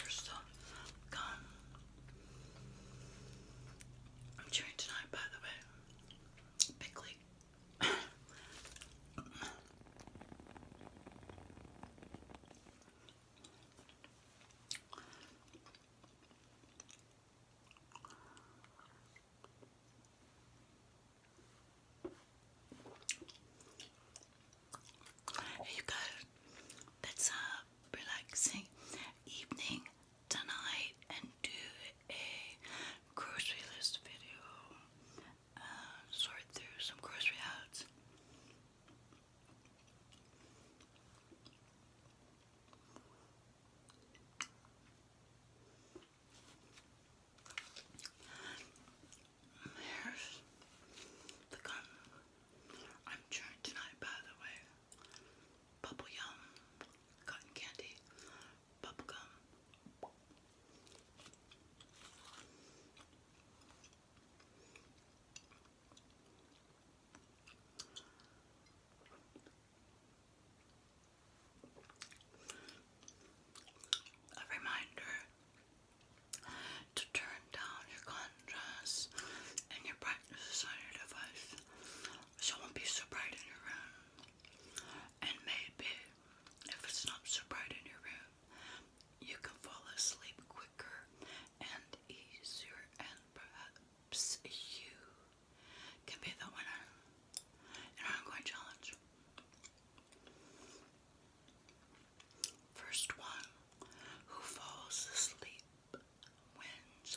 Here's some gum. I'm chewing tonight, by the way. Pickly. Here you go. Let's have uh, a relaxing evening tonight and do a grocery list video. Uh, sort through some grocery ads. There's the gum I'm chewing tonight, by the way. Bubble yum, cotton candy, bubble gum. A reminder to turn down your contrast and your brightness on your device so it won't be so bright in your room. And maybe if it's not so bright in your room, you can fall asleep quicker and easier, and perhaps you can be the winner in our ongoing challenge. First one who falls asleep wins.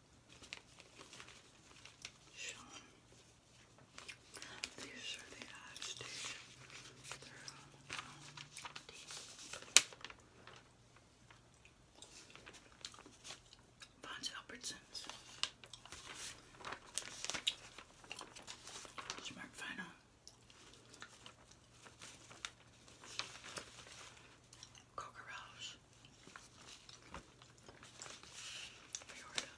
Sean. These are the eyes, dude. They're on the bottom. Von Albertsons. Smart Final. Coca Rose. Florida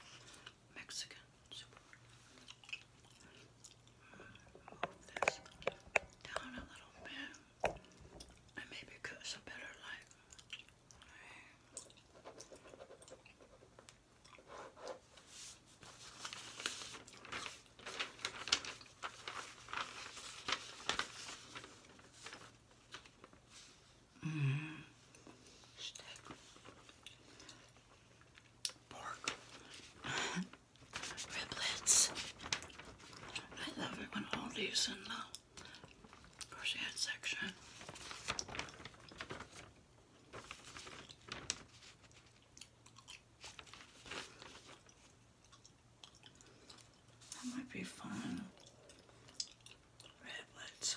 Mexican down a little bit and maybe give a better light. Steak. Pork. Riblets. I love it when all these in the crochet section. That might be fun. Redwoods.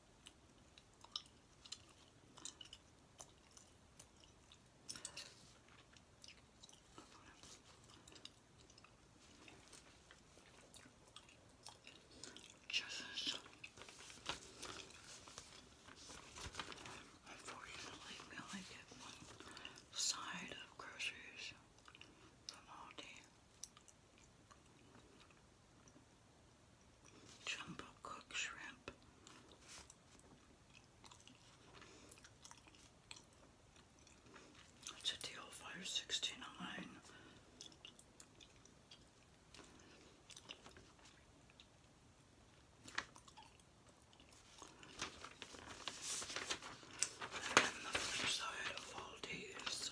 Just as unfortunately we only get one side of groceries from Aldi. Jumbo cooked shrimp. It's a deal fire And the flip side of all these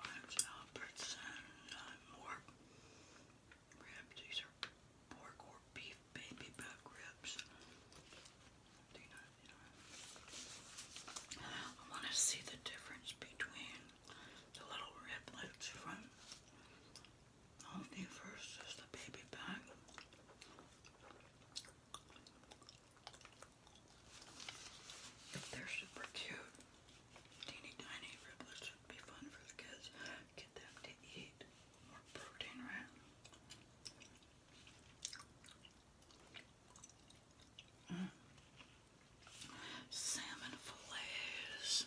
Rhymes and Albertson, uh, more ribs. These are pork or beef baby back ribs. I want to see the difference between the little riblets from Omni versus the baby back. They're super cute. Teeny tiny riblets would be fun for the kids. Get them to eat more protein, right? Mm. Salmon fillets.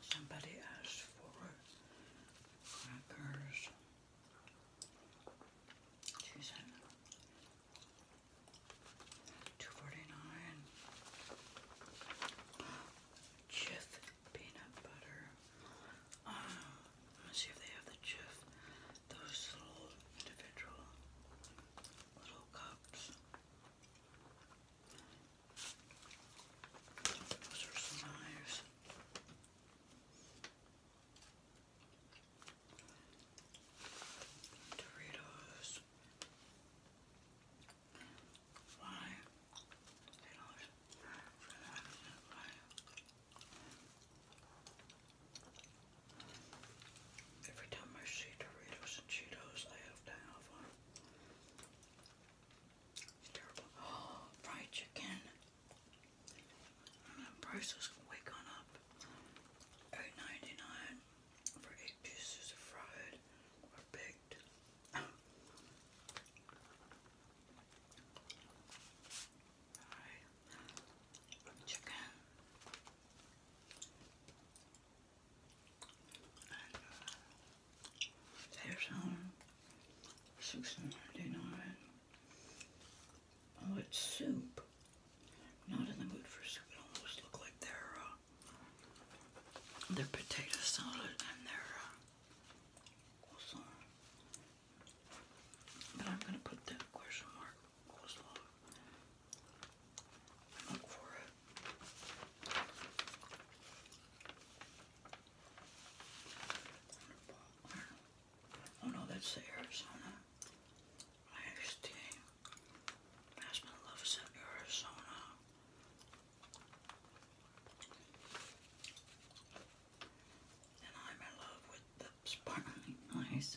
Somebody asked for crackers. She said two forty nine. Chiff peanut butter. Uh, let me see if they have the Jif. Those little individual little cups. Those are so nice. Doritos five, you know, Every time I see Doritos and Cheetos, I have to have one. fried chicken. prices way gone up. 8 for eight pieces of fried or big Alright. Chicken. And uh, there's um six ninety nine. Oh, it's soup. Not in the mood for soup. It almost look like their uh, their potato salad and their uh, Coleslaw. But I'm going to put the question mark coleslaw and look for it. Oh no, that's the Arizona. I understand. My husband loves the Arizona and I'm in love with the sparkling ice.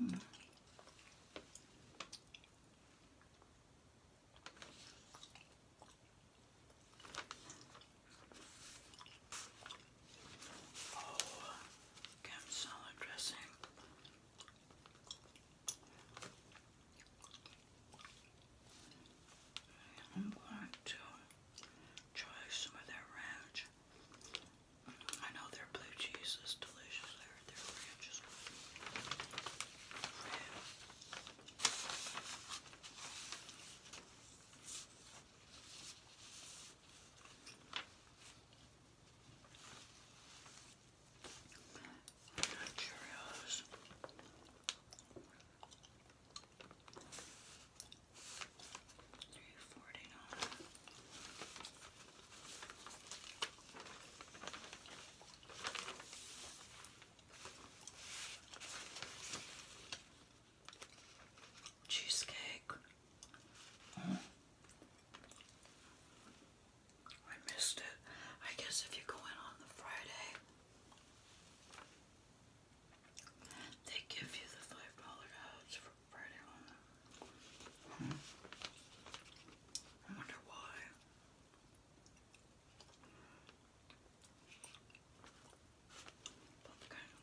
Mm. Oh, salad dressing. I'm going to try some of their ranch. I know their blue cheese is delicious. I heard their ranch is good. And Cheerios. Cheesecake. I missed it. I guess if you go in on the Friday, they give you the five dollar ads for Friday hmm. I wonder why. But the kind of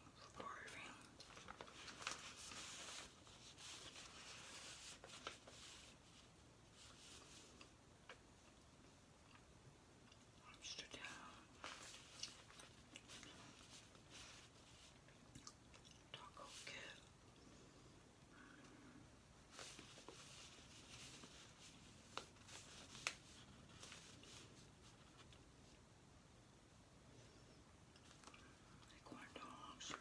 Taco Kill. Like corn dogs.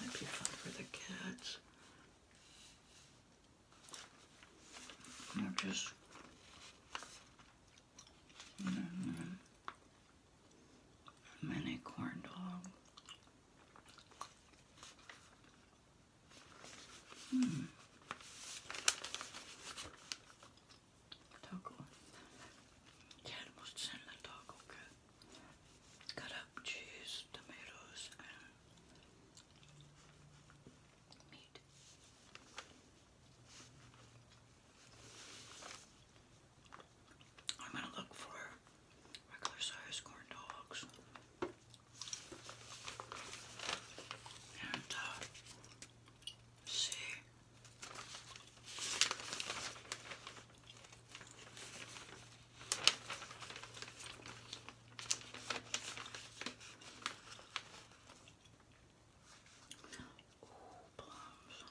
might be fun for the kids. They're just Mm -hmm. Mini corn dog. Mm. Taco. Dad was sending the taco kit. Cut up cheese, tomatoes, and meat. I'm going to look for regular size corn dogs. And uh, see. Ooh, plums.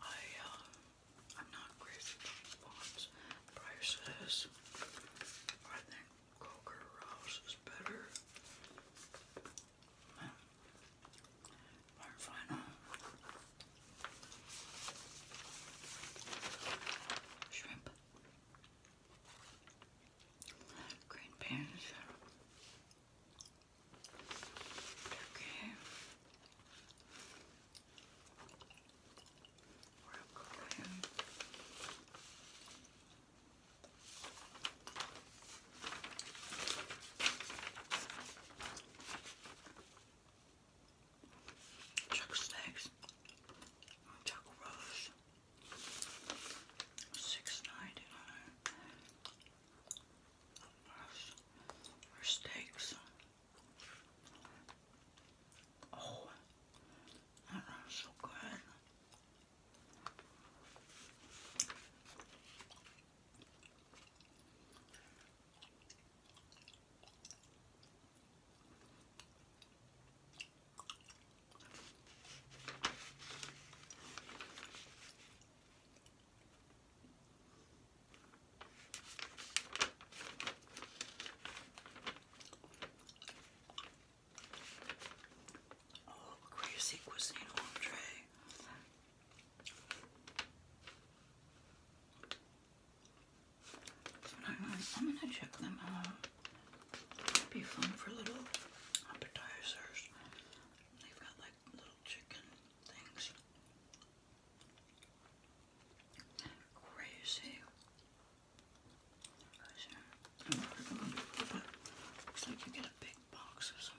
I am uh, not crazy about plums. I think Coker Rouse is better. final Shrimp. Green beans. Turkey. Broccoli chuck snacks, chuck rolls, six ninety nine. Or steaks. Oh, that so good. Oh, crazy cuisine entree. I'm, gonna check them out. be fun for little appetizers. They've got like little chicken things. Crazy. looks like you get a big box or something.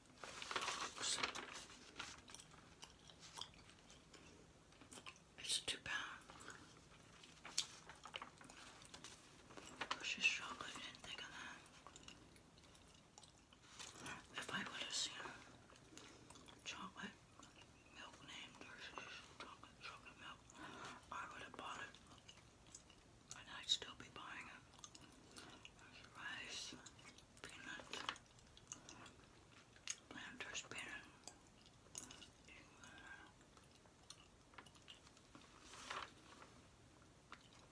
it's two pounds. She's chocolate, didn't think of that. If I would have seen chocolate milk named Hershey's chocolate, chocolate milk, I would have bought it. And I'd still be buying it. There's peanuts, planters peanuts.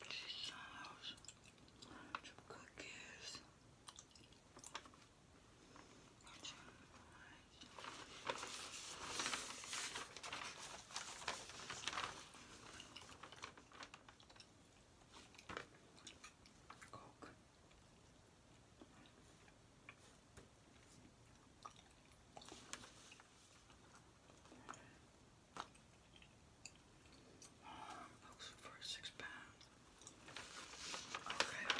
Cheese sauce, some cookies, some Nice. Coke. Um, books for six pounds. Okay.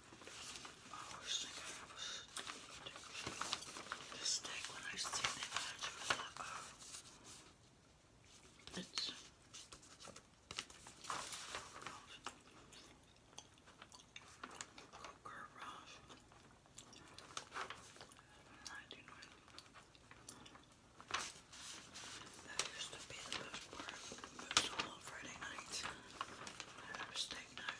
Oh, I always think I have a steak. when I see it, I was like, It's... Coker Ross. That used to be the best part. It was on Friday night. I have night.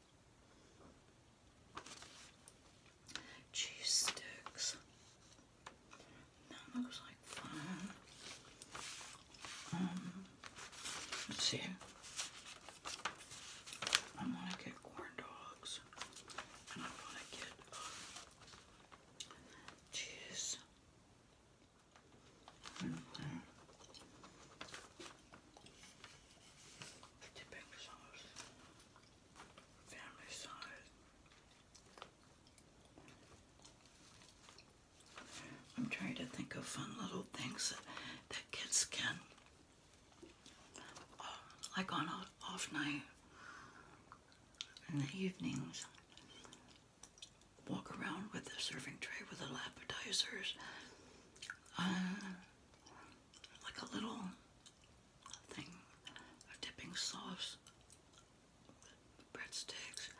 Cheese sticks. That looks like fun. Um, let's see. I want to get corn dogs, and I want to get uh, cheese. Mm-hmm family size. I'm trying to think of fun little things that, that kids can, uh, like on an off night in the evenings, walk around with a serving tray with little appetizers. Uh, like a little thing of dipping sauce, breadsticks,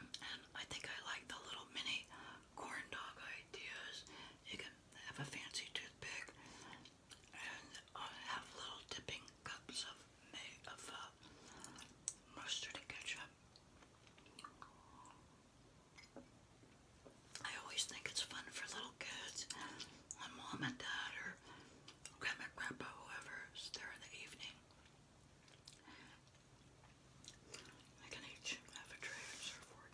and I think I like the little mini corn dog ideas. You can have a fancy toothpick and uh, have little dipping cups of of uh, mustard ketchup. I always think it's fun for little kids, when mom and dad or grandma, grandpa, whoever's there in the evening. I can each have a tray and serve for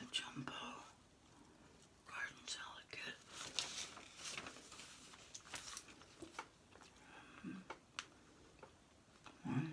a jumbo garden salad kit. Mm -hmm. Mm -hmm.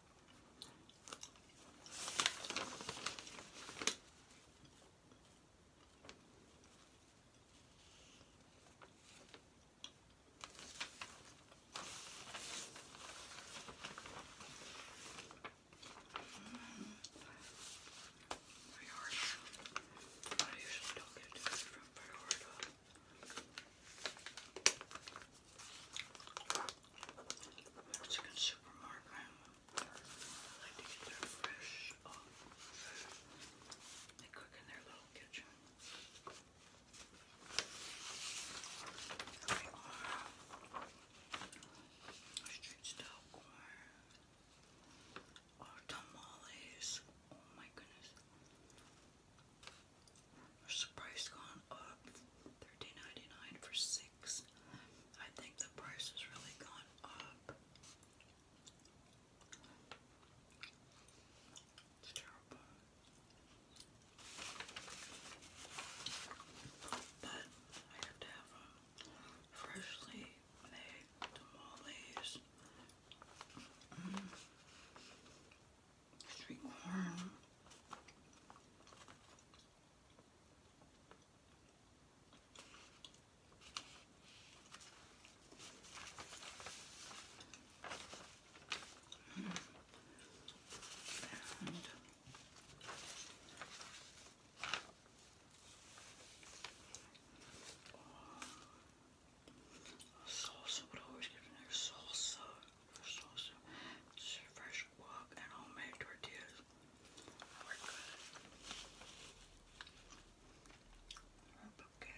I usually don't get too much from Priorita. Mexican supermarket. I like to get their fresh oh, They cook in their little kitchen. They are street style corn. Or tamales. Oh my goodness. the price gone up. 13 for 6 six. I think the price has really gone up. It's terrible. But I have to have freshly made tamales, mm. corn, salsa would always give me salsa, salsa, fresh fresh guac and homemade tortillas are good. Okay.